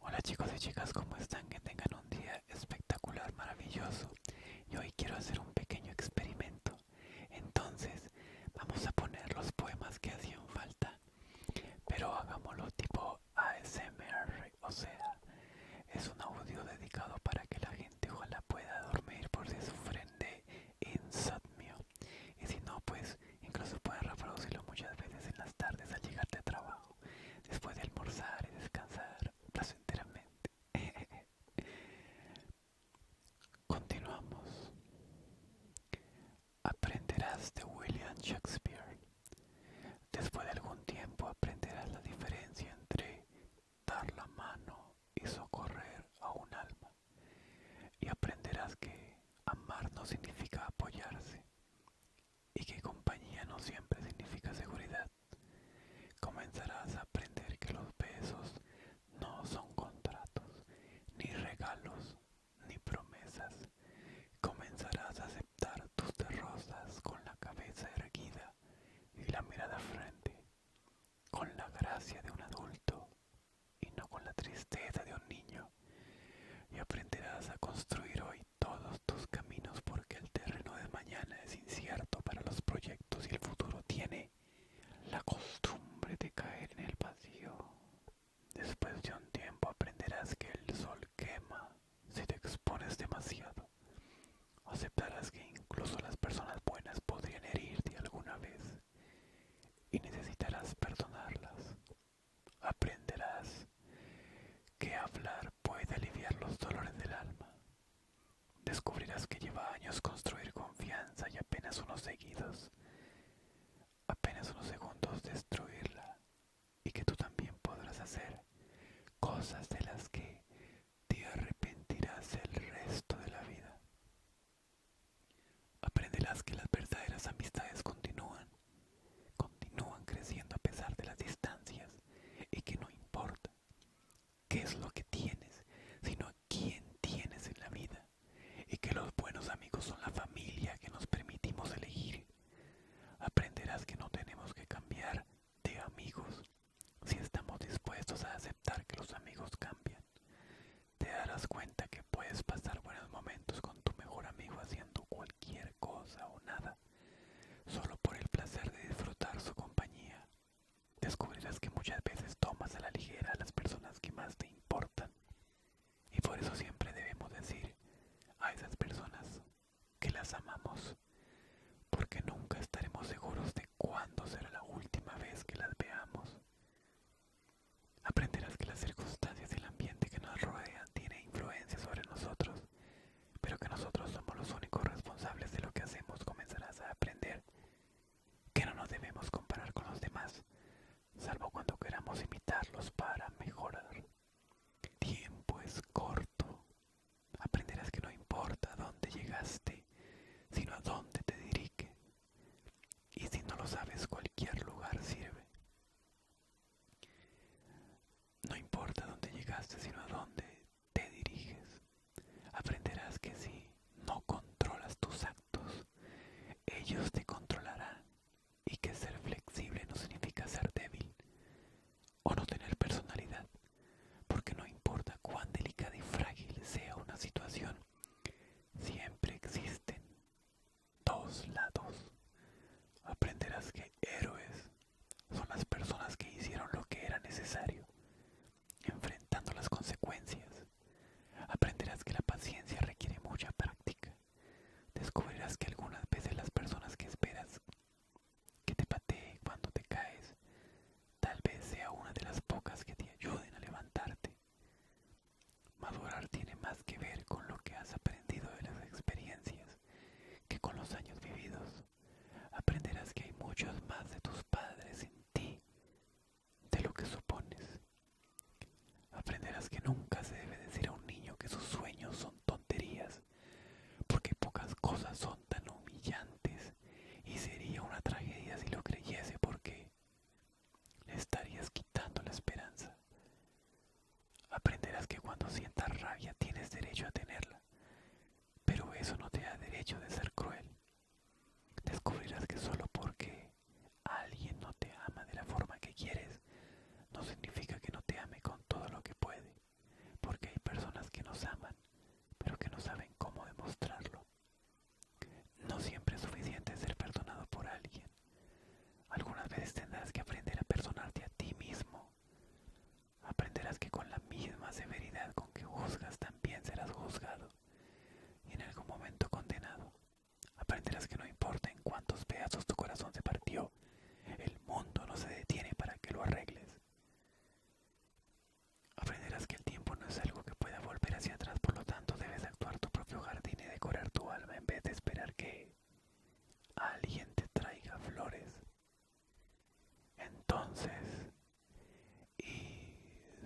Hola chicos y chicas, ¿cómo están? Que tengan un día espectacular, maravilloso. Y hoy quiero hacer un pequeño experimento. Entonces, vamos a poner los poemas que hacían falta, pero hagámoslo tipo ASMR, o sea, es un audio dedicado para que la gente ojalá pueda dormir por si sufren de insomnio. Y si no, pues incluso pueden reproducirlo muchas veces en las tardes al llegar de trabajo después de almorzar y descansar enteramente Continuamos. Aprenderás de William Shakespeare. Después de algún tiempo aprenderás la diferencia entre dar la mano y socorrer a un alma. Y aprenderás que amar no significa apoyarse y que compañía no siempre significa seguridad, comenzarás a aprender que los besos no son contratos, ni regalos, ni promesas. Comenzarás a aceptar tus derrotas con la cabeza erguida y la mirada frente, con la gracia de un adulto y no con la tristeza de un niño. Y aprenderás a construir hoy todos tus caminos porque el terreno de mañana es incierto para los proyectos y el futuro tiene la costumbre de caer en el vacío. Después de un tiempo aprenderás que el sol quema si te expones demasiado. Aceptarás que incluso las personas buenas podrían herirte alguna vez y necesitarás perdonarlas aprenderás que hablar puede aliviar los dolores del alma. Descubrirás que lleva años construir confianza y apenas unos seguidos, apenas unos segundos destruirla y que tú también podrás hacer cosas de las que te arrepentirás el resto de la vida. Aprenderás que las verdaderas amistades continúan continúan creciendo a pesar de las distancias y que no importa qué es lo que tienes, sino quién tienes en la vida y que los buenos amigos son la familia que nos permitimos elegir. Aprenderás que no tenemos que cambiar de amigos si estamos dispuestos a aceptar que los amigos cambian. Te darás cuenta que puedes pasar buenos momentos con tu mejor amigo haciendo cualquier cosa o nada solo por el placer de disfrutar su compañía. Descubrirás que muchas veces tomas a la ligera a las personas que más te importan. Y por eso siempre debemos decir a esas personas que las amamos, porque nunca estaremos seguros de cuándo será la última vez que las veamos. Aprenderás que las circunstancias y el ambiente que nos rodean tiene influencia sobre nosotros pero que nosotros somos los únicos responsables de lo que hacemos, comenzarás a aprender que no nos debemos comparar con los demás, salvo cuando queramos imitarlos para mejorar. Tiempo es corto. Aprenderás que no importa dónde llegaste, sino a dónde te dirige. Y si no lo sabes, cualquier lugar sirve. No importa dónde llegaste, sino a dónde te diriges. Aprenderás que si no controlas tus actos, ellos te controlarán y que ser flexible no significa ser débil o no tener personalidad, porque no importa cuán delicada y frágil sea una situación, siempre existen dos lados. Aprenderás que héroes son las personas que hicieron lo que era necesario, enfrentando las consecuencias. Aprenderás que la paciencia requiere mucha práctica. Descubrirás que algunas veces las personas que esperas que te pateen cuando te caes, tal vez sea una de las pocas que te ayuden a levantarte. Madurar tiene más que ver con lo que has aprendido de las experiencias que con los años vividos aprenderás que hay muchos más de tus padres en ti de lo que supones. Aprenderás que nunca se debe decir a un niño que sus sueños son tonterías, porque pocas cosas son tan humillantes y sería una tragedia si lo creyese porque le estarías quitando la esperanza. Aprenderás que cuando sientas rabia tienes derecho a tenerla, pero eso no te da derecho de ser cruel. Descubrirás que solo porque alguien no te ama de la forma que quieres, no significa que no te ame con todo lo que puede, porque hay personas que nos aman, pero que no saben cómo demostrarlo. No siempre es suficiente ser perdonado por alguien. Algunas veces tendrás que aprender a perdonarte a ti mismo Aprenderás que con la misma severidad con que juzgas también serás juzgado y en algún momento condenado. Aprenderás que no importa en cuántos pedazos tu corazón se partió, el mundo no se detiene para que lo arregles. Aprenderás que el tiempo no es algo que pueda volver hacia atrás, por lo tanto debes actuar tu propio jardín y decorar tu alma en vez de esperar que alguien te traiga flores. Entonces, y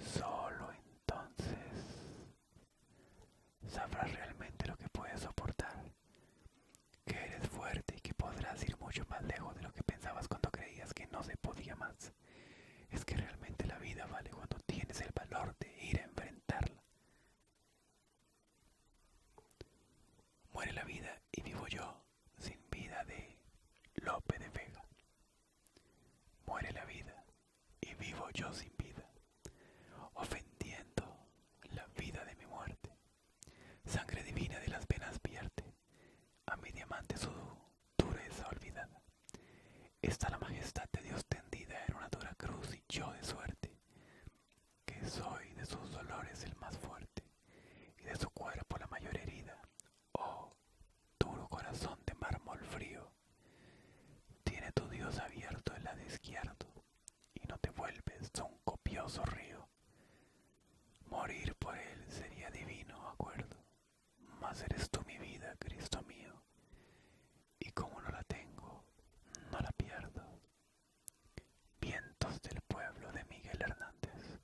solo entonces, sabrás realmente lo que puedes soportar, que eres fuerte y que podrás ir mucho más lejos de lo que pensabas cuando creías que no se podía más. Es que realmente la vida vale cuando tienes el valor de ir a enfrentarla. Muere la vida y vivo yo sin vida de Lope de Vega. Muere la vida y vivo yo sin vida, ofendiendo la vida de mi muerte. Sangre divina de las venas vierte, a mi diamante su dureza olvidada. Está la majestad de Dios tendida en una dura cruz y yo de suerte que soy de sus dolores el más fuerte, y de su cuerpo la mayor herida. Oh, duro corazón de mármol frío, tiene tu Dios abierto el lado izquierdo, y no te vuelves a un copioso río. Morir por él sería divino acuerdo, mas eres tú mi vida, Cristo mío, y como no la tengo, no la pierdo. Vientos del pueblo de Miguel Hernández.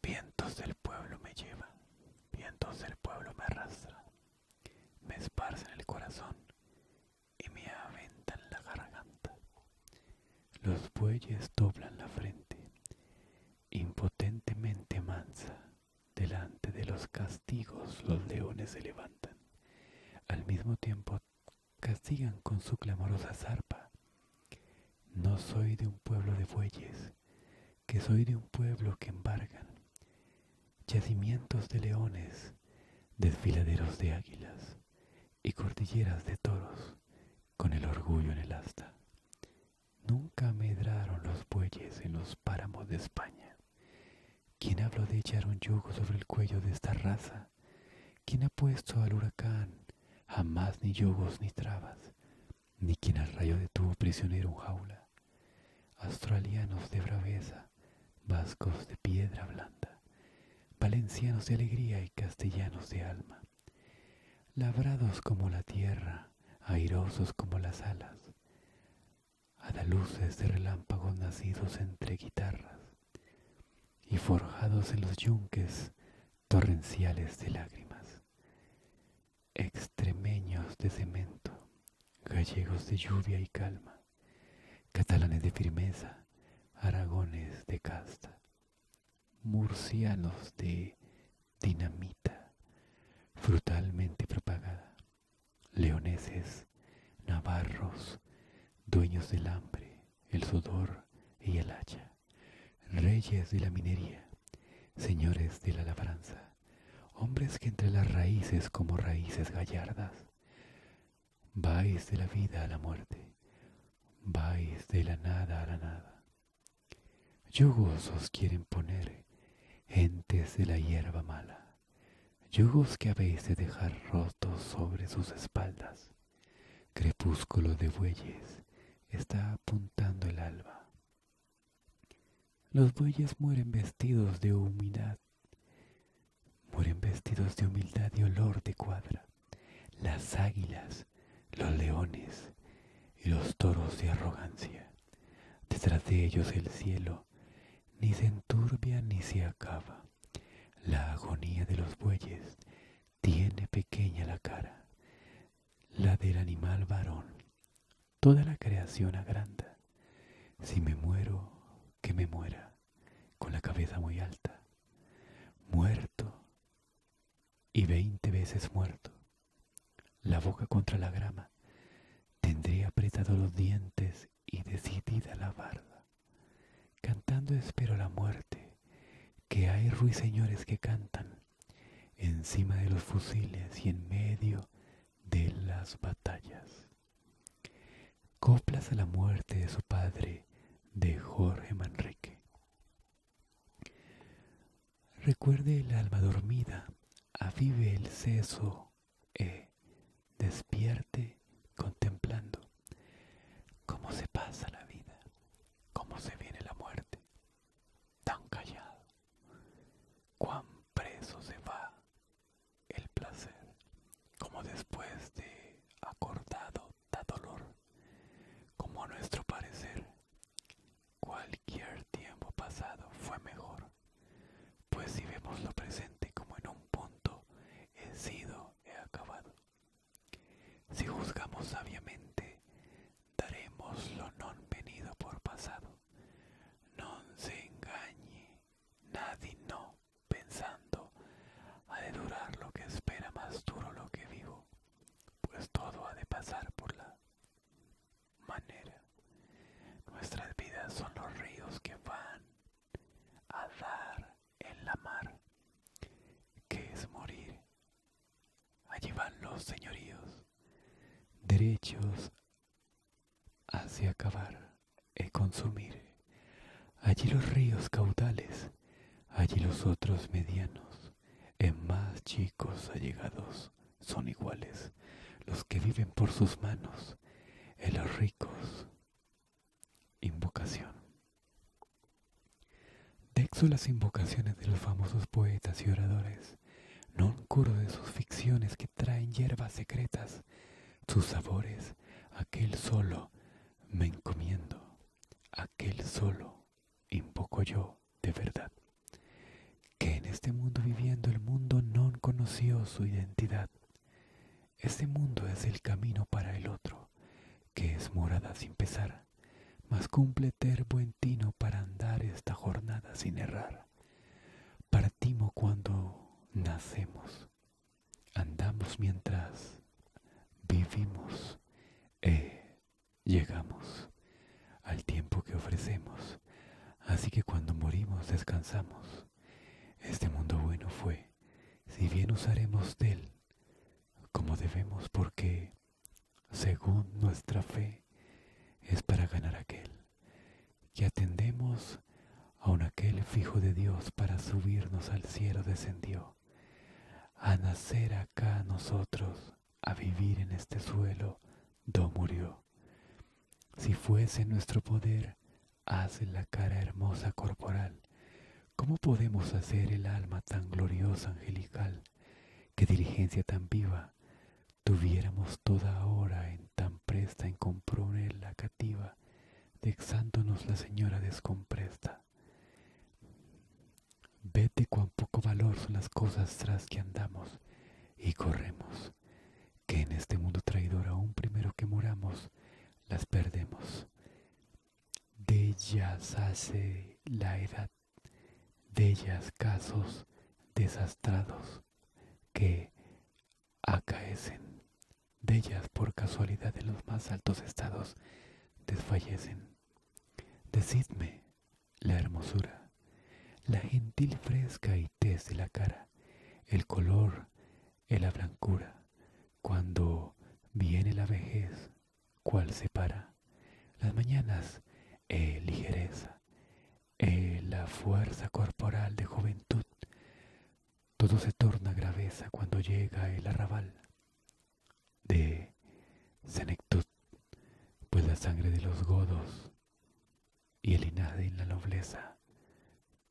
Vientos del pueblo me llevan, vientos del pueblo me arrastran, me esparcen el corazón y me aventan la garganta. Los bueyes doblan la frente, impotentemente mansa, delante de los castigos los leones se levantan, al mismo tiempo castigan con su clamorosa zarpa. No soy de un pueblo de bueyes, que soy de un pueblo que embargan yacimientos de leones, desfiladeros de águilas y cordilleras de toros con el orgullo en el asta. Nunca medraron los bueyes en los páramos de España. ¿Quién habló de echar un yugo sobre el cuello de esta raza? ¿Quién ha puesto al huracán? Jamás ni yugos ni trabas, ni quien al rayo detuvo prisionero un jaula. Australianos de braveza, vascos de piedra blanda, valencianos de alegría y castellanos de alma, labrados como la tierra, airosos como las alas, a de relámpagos nacidos entre guitarras, y forjados en los yunques torrenciales de lágrimas, extremeños de cemento, gallegos de lluvia y calma, catalanes de firmeza, aragones de casta, murcianos de dinamita, frutalmente propagada, leoneses, navarros, dueños del hambre, el sudor y el hacha, reyes de la minería, señores de la labranza, hombres que entre las raíces como raíces gallardas, vais de la vida a la muerte, vais de la nada a la nada. Yugos os quieren poner, gentes de la hierba mala, yugos que habéis de dejar rotos sobre sus espaldas. Crepúsculo de bueyes, está apuntando el alba. Los bueyes mueren vestidos de humildad, mueren vestidos de humildad y olor de cuadra. Las águilas, los leones y los toros de arrogancia. Detrás de ellos el cielo, ni se enturbia ni se acaba. La agonía de los bueyes tiene pequeña la cara, la del animal varón. Toda la creación agranda. Si me muero, que me muera, con la cabeza muy alta. Muerto y veinte veces muerto. La boca contra la grama. tendré apretado los dientes y decidida la barba. Cantando espero la muerte, que hay ruiseñores que cantan encima de los fusiles y en medio de las batallas. Coplas a la muerte de su padre, de Jorge Manrique. Recuerde el alma dormida, avive el seso, e despierte contemplando cómo se pasa la vida, cómo se viene la muerte, tan callado, cuán preso se va el placer, como después de acordado da dolor, como a nuestro parecer cualquier tiempo pasado fue mejor, pues si vemos lo presente como en un punto he sido, he acabado, si juzgamos sabiamente, daremos lo non venido por pasado. Non se engañe, nadie no, pensando, ha de durar lo que espera más duro lo que vivo, pues todo ha de pasar por la manera. Nuestras vidas son los ríos que van a dar en la mar, que es morir. Allí van los señoríos, derechos hacia acabar y consumir. Allí los ríos caudales, allí los otros medianos, en más chicos allegados son iguales, los que viven por sus manos, en los ricos Invocación. Dexo las invocaciones de los famosos poetas y oradores, non curo de sus ficciones que traen hierbas secretas, sus sabores, aquel solo me encomiendo, aquel solo invoco yo de verdad, que en este mundo viviendo el mundo non conoció su identidad. Este mundo es el camino para el otro que es morada sin pesar, mas cumple ter buen tino para andar esta jornada sin errar. Partimos cuando nacemos, andamos mientras vivimos e llegamos al tiempo que ofrecemos, así que cuando morimos descansamos. Este mundo bueno fue si bien usaremos de él como debemos, porque según nuestra fe es para ganar aquel, que atendemos a un aquel fijo de Dios para subirnos al cielo descendió, a nacer acá nosotros, a vivir en este suelo, do murió. Si fuese nuestro poder, hace la cara hermosa corporal, ¿Cómo podemos hacer el alma tan gloriosa, angelical, qué diligencia tan viva, tuviéramos toda hora en tan presta en componer la cativa, dexándonos la señora descompresta? Vete cuán poco valor son las cosas tras que andamos y corremos, que en este mundo traidor aún primero que moramos, las perdemos de ellas hace la edad, de ellas casos desastrados que acaecen, de ellas por casualidad en los más altos estados desfallecen. Decidme la hermosura, la gentil fresca y tez de la cara, el color, en la blancura, cuando viene la vejez, cual separa las mañanas, eh, ligereza, eh, la fuerza corporal de juventud. Todo se torna graveza cuando llega el arrabal de senectud, pues la sangre de los godos y el linaje en la nobleza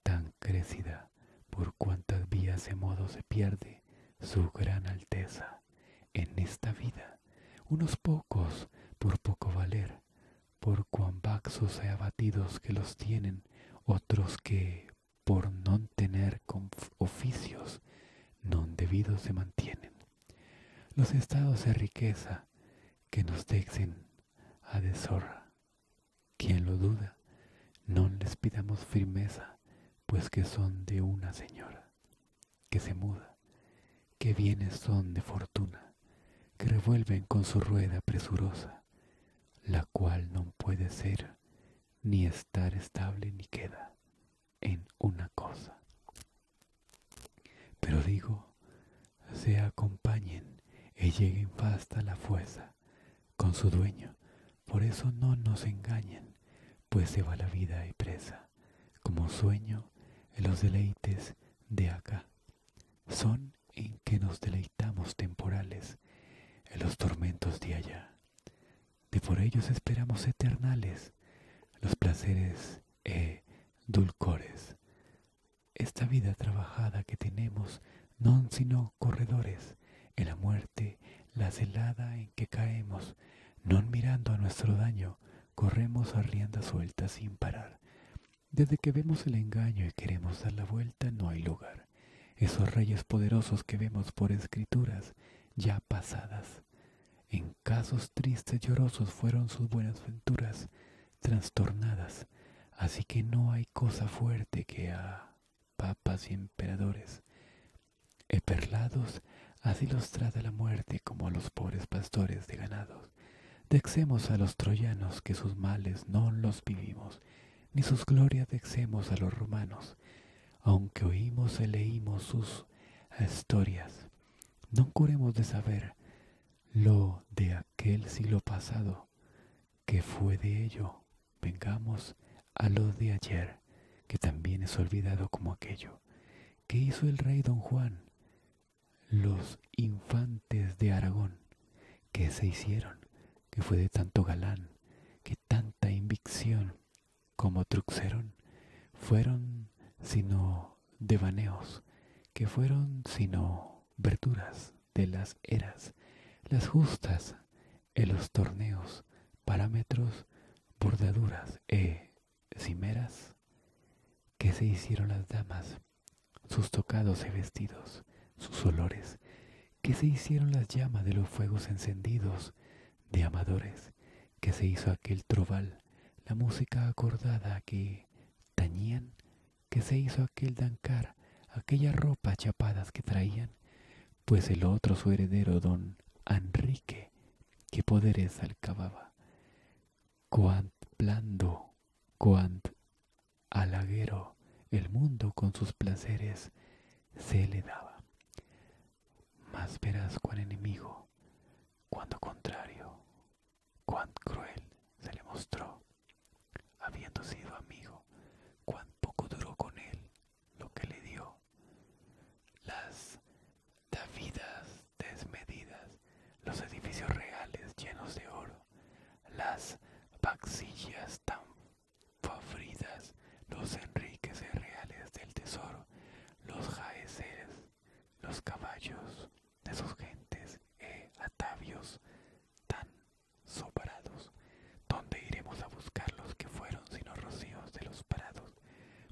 tan crecida por cuántas vías de modo se pierde su gran alteza en esta vida, unos pocos por poco valer, por cuan vaxos hay abatidos que los tienen, otros que por no tener oficios non debidos se mantienen. Los estados de riqueza que nos dexen a deshorra. Quien lo duda, no les pidamos firmeza pues que son de una señora, que se muda, que bienes son de fortuna, que revuelven con su rueda presurosa, la cual no puede ser ni estar estable ni queda en una cosa. Pero digo, se acompañen y lleguen hasta la fuerza con su dueño. Por eso no nos engañen pues se va la vida y presa, como sueño en los deleites de acá. Son en que nos deleitamos temporales, en los tormentos de allá. De por ellos esperamos eternales, los placeres e dulcores. Esta vida trabajada que tenemos, no sino corredores, en la muerte la celada en que caemos, no mirando a nuestro daño, corremos a rienda suelta sin parar. Desde que vemos el engaño y queremos dar la vuelta, no hay lugar. Esos reyes poderosos que vemos por escrituras ya pasadas. En casos tristes llorosos fueron sus buenas venturas, trastornadas, así que no hay cosa fuerte que ha papas y emperadores. Eperlados, así los la muerte como a los pobres pastores de ganados. Dexemos a los troyanos que sus males no los vivimos, ni sus glorias dexemos a los romanos, aunque oímos y leímos sus historias. No curemos de saber lo de aquel siglo pasado, que fue de ello Vengamos a lo de ayer, que también es olvidado como aquello. que hizo el rey don Juan? Los infantes de Aragón. que se hicieron? Que fue de tanto galán, que tanta invicción como truxeron, fueron sino devaneos, que fueron sino verduras de las eras, las justas en los torneos, parámetros, bordaduras e cimeras que se hicieron las damas, sus tocados y vestidos, sus olores, que se hicieron las llamas de los fuegos encendidos, de amadores, que se hizo aquel troval, la música acordada que tañían, que se hizo aquel dancar, aquellas ropas chapadas que traían, pues el otro su heredero, don Enrique, qué poderes alcababa. Cuán blando, cuán halaguero, el mundo con sus placeres se le daba. más verás cuán enemigo, cuán contrario, cuán cruel se le mostró, habiendo sido amigo, cuán poco duró con él lo que le dio. Las davidas desmedidas, los edificios reales llenos de oro, las baxillas tan favoritas, los enriques reales del tesoro, los jaeceres, los caballos de sus gentes e atavios tan sobrados, ¿Dónde iremos a buscar los que fueron sino rocíos de los prados?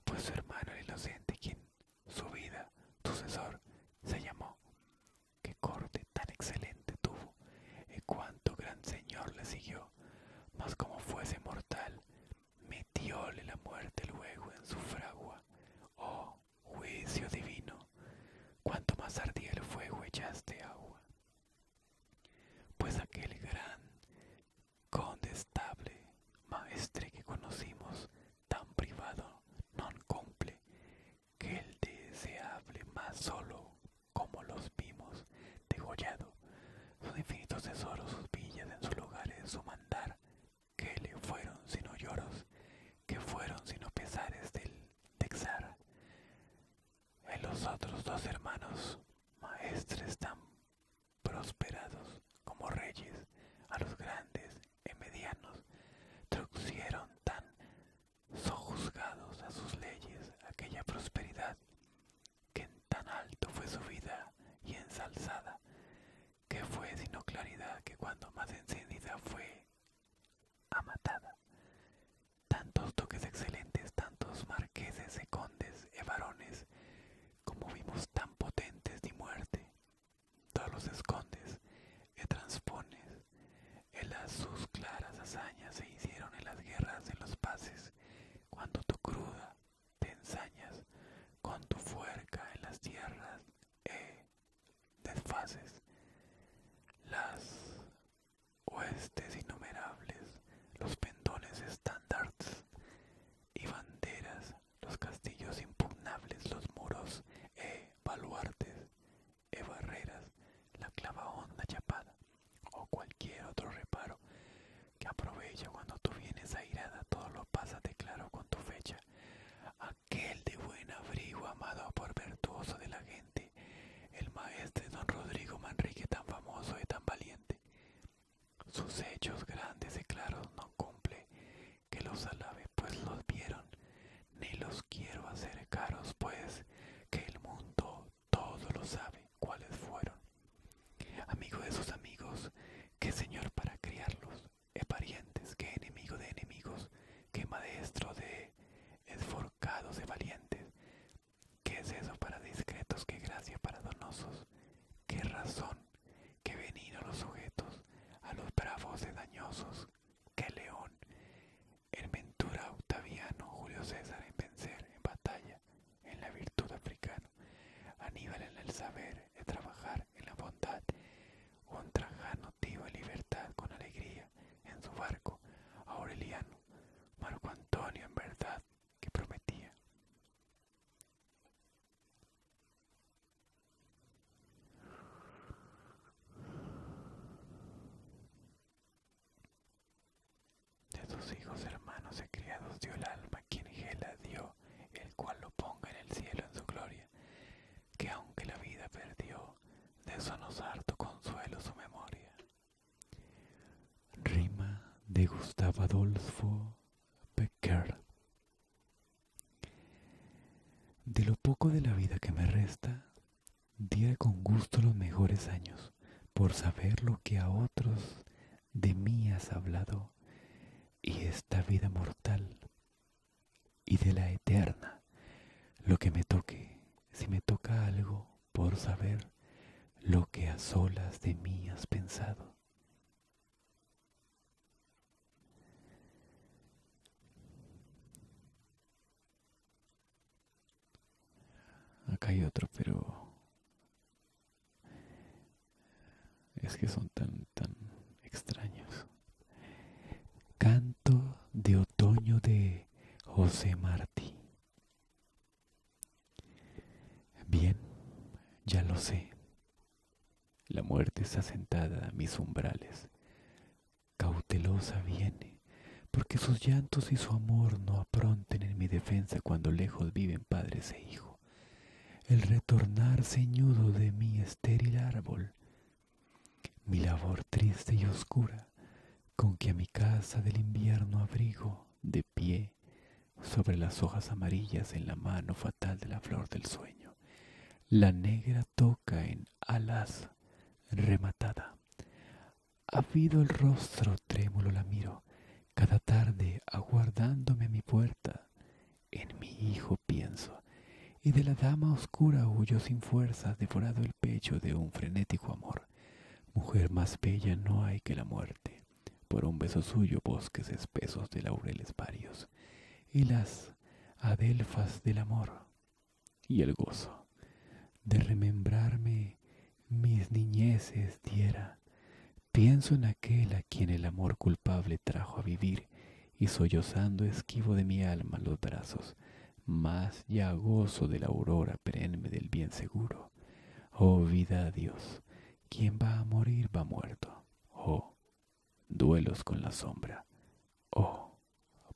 Pues su hermano el inocente, quien su vida, sucesor, se llamó. Qué corte tan excelente tuvo, y cuánto gran señor le siguió, mas como fuese mortal, metióle la muerte luego en su fragua. Oh, juicio divino, cuanto más ardía el fuego echaste agua. Pues aquel gran condestable maestre que conocimos tan privado non cumple que el deseable más solo como los vimos degollado sus infinitos tesoros sus villas en sus lugares su mandar que le fueron sino lloros que fueron sino pesares del texar en los otros dos hermanos, maestres tan prosperados como reyes, a los grandes y medianos, trucieron tan sojuzgados a sus leyes aquella prosperidad, que en tan alto fue su vida y ensalzada, que fue sino claridad que cuando más encendida fue amatada. Tantos toques excelentes, tantos marcos que se escondes, e varones, como vimos tan potentes de muerte, todos los escondes e transpones, en las sus claras hazañas se hicieron en las guerras en los pases, cuando tu cruda te ensañas, con tu fuerza en las tierras e eh, desfaces, las oestes innumerables, los pendones standards y banderas, los castillos impugnables, los muros e baluartes e barreras, la clava chapada o cualquier otro reparo que aprovecha cuando tú vienes airada, todo lo pasa de claro con tu fecha. Aquel de buen abrigo amado por virtuoso de la gente, el maestre don Rodrigo Manrique tan famoso y tan valiente, sus hechos grandes y claros no cumple que los alabe, pues los vieron, ni los quiero hacer caros, pues que el mundo todo lo sabe cuáles fueron. Amigo de sus amigos, qué señor para criarlos, es parientes, qué enemigo de enemigos, qué maestro de esforcados de valientes, ¿Qué es eso para discretos? ¿Qué gracia para donosos? ¿Qué razón? ¿Qué venido los sujetos? A los bravos de dañosos. ¿Qué león? En ventura Octaviano, Julio César en vencer, en batalla, en la virtud africana Aníbal en el saber, de trabajar, en la bondad. Un trajano tío en libertad, con alegría, en su barco. Aureliano, Marco Antonio en verdad, que prometía. De sus hijos, hermanos y criados dio el alma quien Gela dio, el cual lo ponga en el cielo en su gloria, que aunque la vida perdió, de eso harto consuelo su memoria. Rima de Gustavo Adolfo Becker. De lo poco de la vida que me resta, diré con gusto los mejores años por saber lo que a otros de mí has hablado y esta vida mortal y de la eterna, lo que me toque, si me toca algo, por saber lo que a solas de mí has pensado. Acá hay otro, pero es que son tan, tan extraños. Canto de otoño de José Martí. Bien, ya lo sé. La muerte está sentada a mis umbrales. Cautelosa viene, porque sus llantos y su amor no apronten en mi defensa cuando lejos viven padres e hijos, El retornar ceñudo de mi estéril árbol, mi labor triste y oscura, con que a mi casa del invierno abrigo de pie sobre las hojas amarillas en la mano fatal de la flor del sueño. La negra toca en alas rematada. ha Habido el rostro trémulo la miro, cada tarde aguardándome a mi puerta. En mi hijo pienso, y de la dama oscura huyo sin fuerza devorado el pecho de un frenético amor. Mujer más bella no hay que la muerte por un beso suyo bosques espesos de laureles varios, y las adelfas del amor, y el gozo de remembrarme mis niñeces diera. Pienso en aquel a quien el amor culpable trajo a vivir, y sollozando esquivo de mi alma los brazos, más ya gozo de la aurora perenne del bien seguro. Oh vida, Dios, quien va a morir va muerto. Oh, duelos con la sombra. Oh,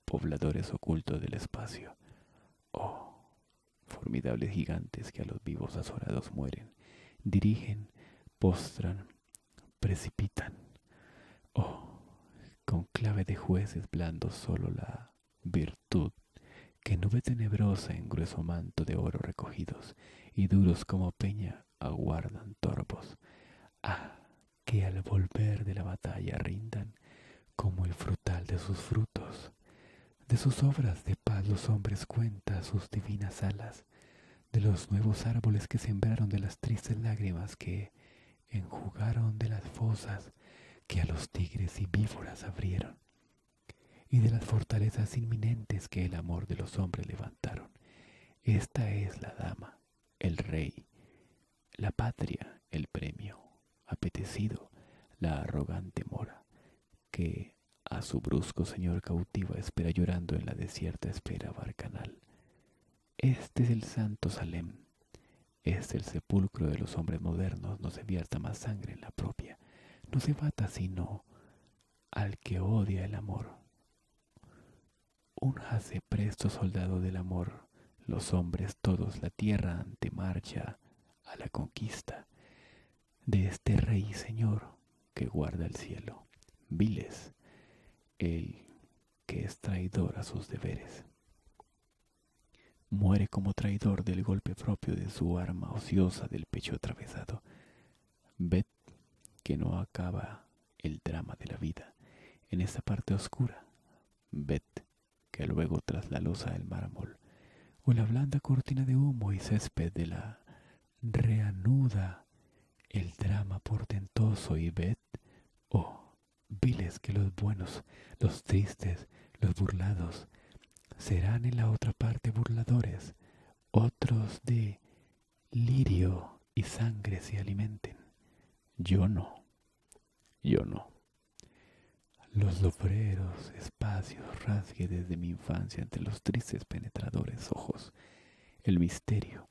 pobladores ocultos del espacio. Oh, formidables gigantes que a los vivos azorados mueren, dirigen, postran, precipitan. Oh, con clave de jueces blandos solo la virtud que nube tenebrosa en grueso manto de oro recogidos y duros como peña aguardan torpos. Ah, que al volver de la batalla rindan como el frutal de sus frutos. De sus obras de paz los hombres cuentan sus divinas alas, de los nuevos árboles que sembraron, de las tristes lágrimas que enjugaron, de las fosas que a los tigres y víboras abrieron, y de las fortalezas inminentes que el amor de los hombres levantaron. Esta es la dama, el rey, la patria, el premio, apetecido, la arrogante mora, que a su brusco señor cautiva espera llorando en la desierta espera barcanal. Este es el santo Salem, es el sepulcro de los hombres modernos, no se vierta más sangre en la propia. No se mata sino al que odia el amor. Un hace presto soldado del amor, los hombres todos la tierra ante marcha a la conquista de este rey señor que guarda el cielo. Viles, el que es traidor a sus deberes. Muere como traidor del golpe propio de su arma ociosa del pecho atravesado que no acaba el drama de la vida en esta parte oscura, ved que luego tras la losa el mármol o la blanda cortina de humo y césped de la reanuda el drama portentoso y ved, oh, viles que los buenos, los tristes, los burlados, serán en la otra parte burladores, otros de lirio y sangre se alimenten. Yo no, yo no. Los lobreros espacios rasgue desde mi infancia entre los tristes penetradores ojos, el misterio.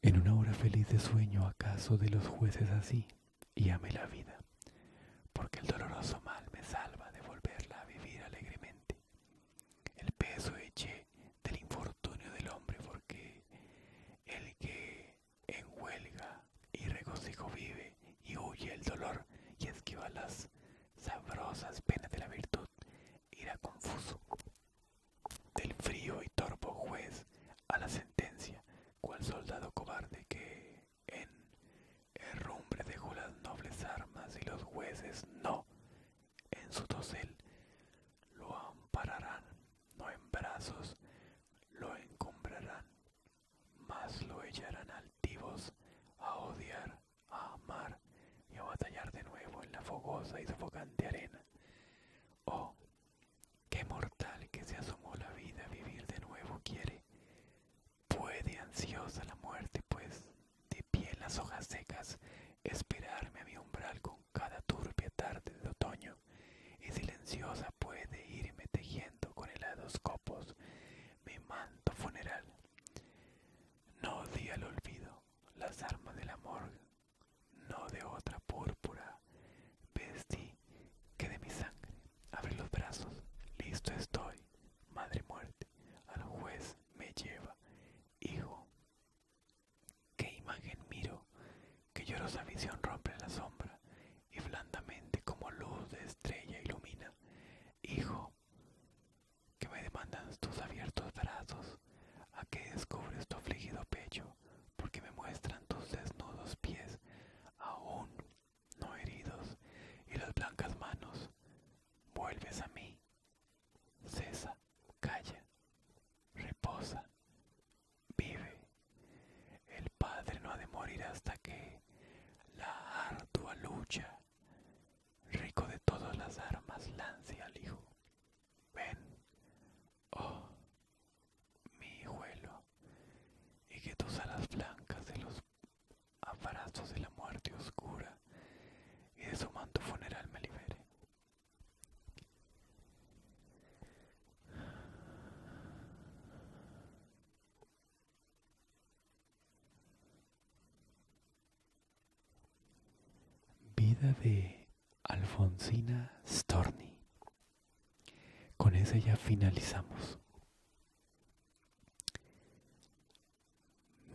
En una hora feliz de sueño, acaso de los jueces así, y ame la vida porque el doloroso mal me salva de volverla a vivir alegremente. El peso eché del infortunio del hombre, porque el que en huelga y regocijo vive y huye el dolor y esquiva las sabrosas penas de la virtud, irá confuso del frío y torpo juez a la sentencia, cual soldado cobarde que en herrumbre dejó las nobles armas y los jueces no en su dosel lo ampararán, no en brazos lo encumbrarán, mas lo echarán altivos a odiar, a amar y a batallar de nuevo en la fogosa y sofocante arena. Oh, qué mortal que se asomó la vida a vivir de nuevo quiere, Puede, ansiosa la muerte, pues, de pie en las hojas secas, esperarme a mi umbral con cada turbia tarde de otoño, y silenciosa puede irme tejiendo con helados copos mi manto funeral. No di al olvido las armas de la amor, no de otra púrpura, vestí que de mi sangre. Abre los brazos, listo estoy, madre muerte al juez me lleva. Hijo, qué imagen miro, que llorosa visión rompe la sombra y blandamente como luz de estrella ilumina. Hijo, que me demandas tus abiertos brazos, a que descubres tu afligido pecho, porque me muestran tus desnudos pies, aún no heridos, y las blancas manos. Vuelves a mí. Cesa, calla, reposa, vive. El Padre no ha de morir hasta que la ardua lucha, rico de todas las armas, lance al Hijo. Ven, oh, mi hijuelo, y que tus alas blancas de los abrazos de la muerte oscura y de su manto funeral me libere. Vida de Alfonsina Storni. Con esa ya finalizamos.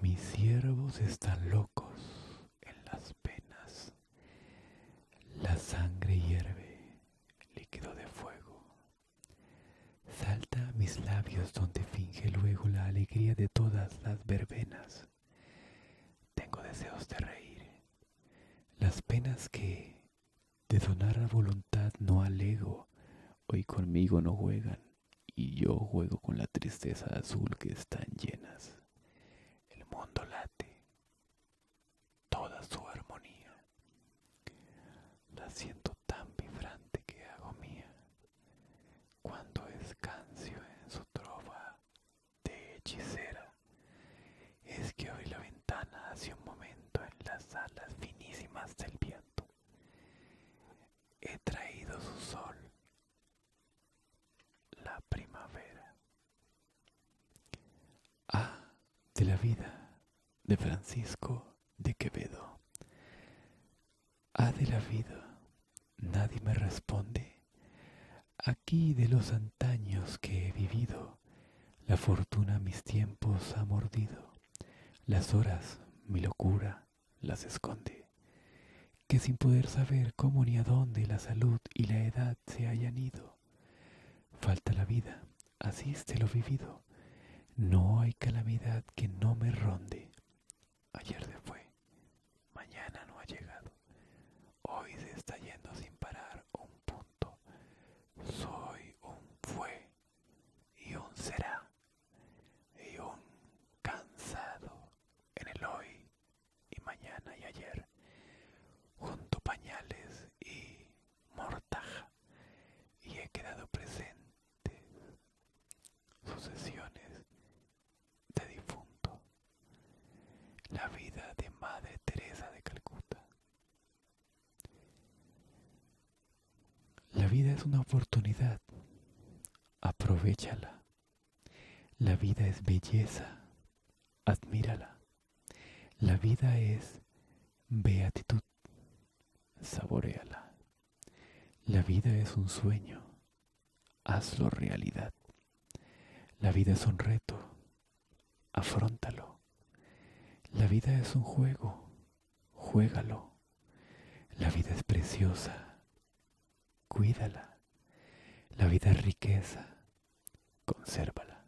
Mis siervos están locos en las penas. La sangre hierve, líquido de fuego. Salta a mis labios donde finge luego la alegría de todas las verbenas. Tengo deseos de reír. Las penas que de donar a voluntad no alego, hoy conmigo no juegan y yo juego con la tristeza azul que están llenas. El mundo late, toda su armonía. La siento tan vibrante que hago mía. Cuando descanso en su trova de hechicera, es que abrí la ventana hace un momento en las alas finísimas del viento he traído su sol, la primavera. Ah, de la vida de Francisco de Quevedo. Ah, de la vida, nadie me responde. Aquí de los antaños que he vivido, la fortuna mis tiempos ha mordido, las horas mi locura, las esconde, que sin poder saber cómo ni a la salud y la edad se hayan ido, falta la vida, así de lo vivido, no hay calamidad que no me ronde. Ayer se fue, mañana no ha llegado, hoy se está yendo sin parar un punto, soy un fue y un será y un cansado en el hoy y mañana y ayer, junto pañales y mortaja, y he quedado presente sucesiones de difunto, la vida de Madre Teresa de Calcuta. La vida es una oportunidad. Aprovechala. La vida es belleza. Admírala. La vida es beatitud. Saboreala. La vida es un sueño. Hazlo realidad. La vida es un reto. afrontalo. La vida es un juego juégalo. La vida es preciosa, cuídala. La vida es riqueza, consérvala.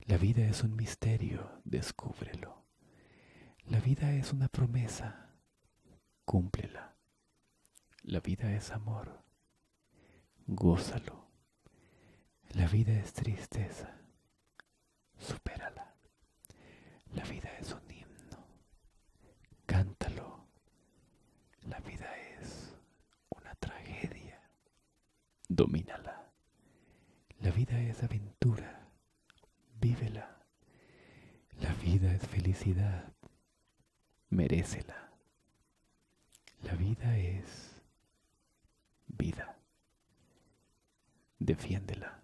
La vida es un misterio, descúbrelo. La vida es una promesa, cúmplela. La vida es amor, gózalo. La vida es tristeza, supérala. La vida es un himno, cántalo. La vida es una tragedia, domínala. La vida es aventura, vívela. La vida es felicidad, merécela. La vida es vida, defiéndela.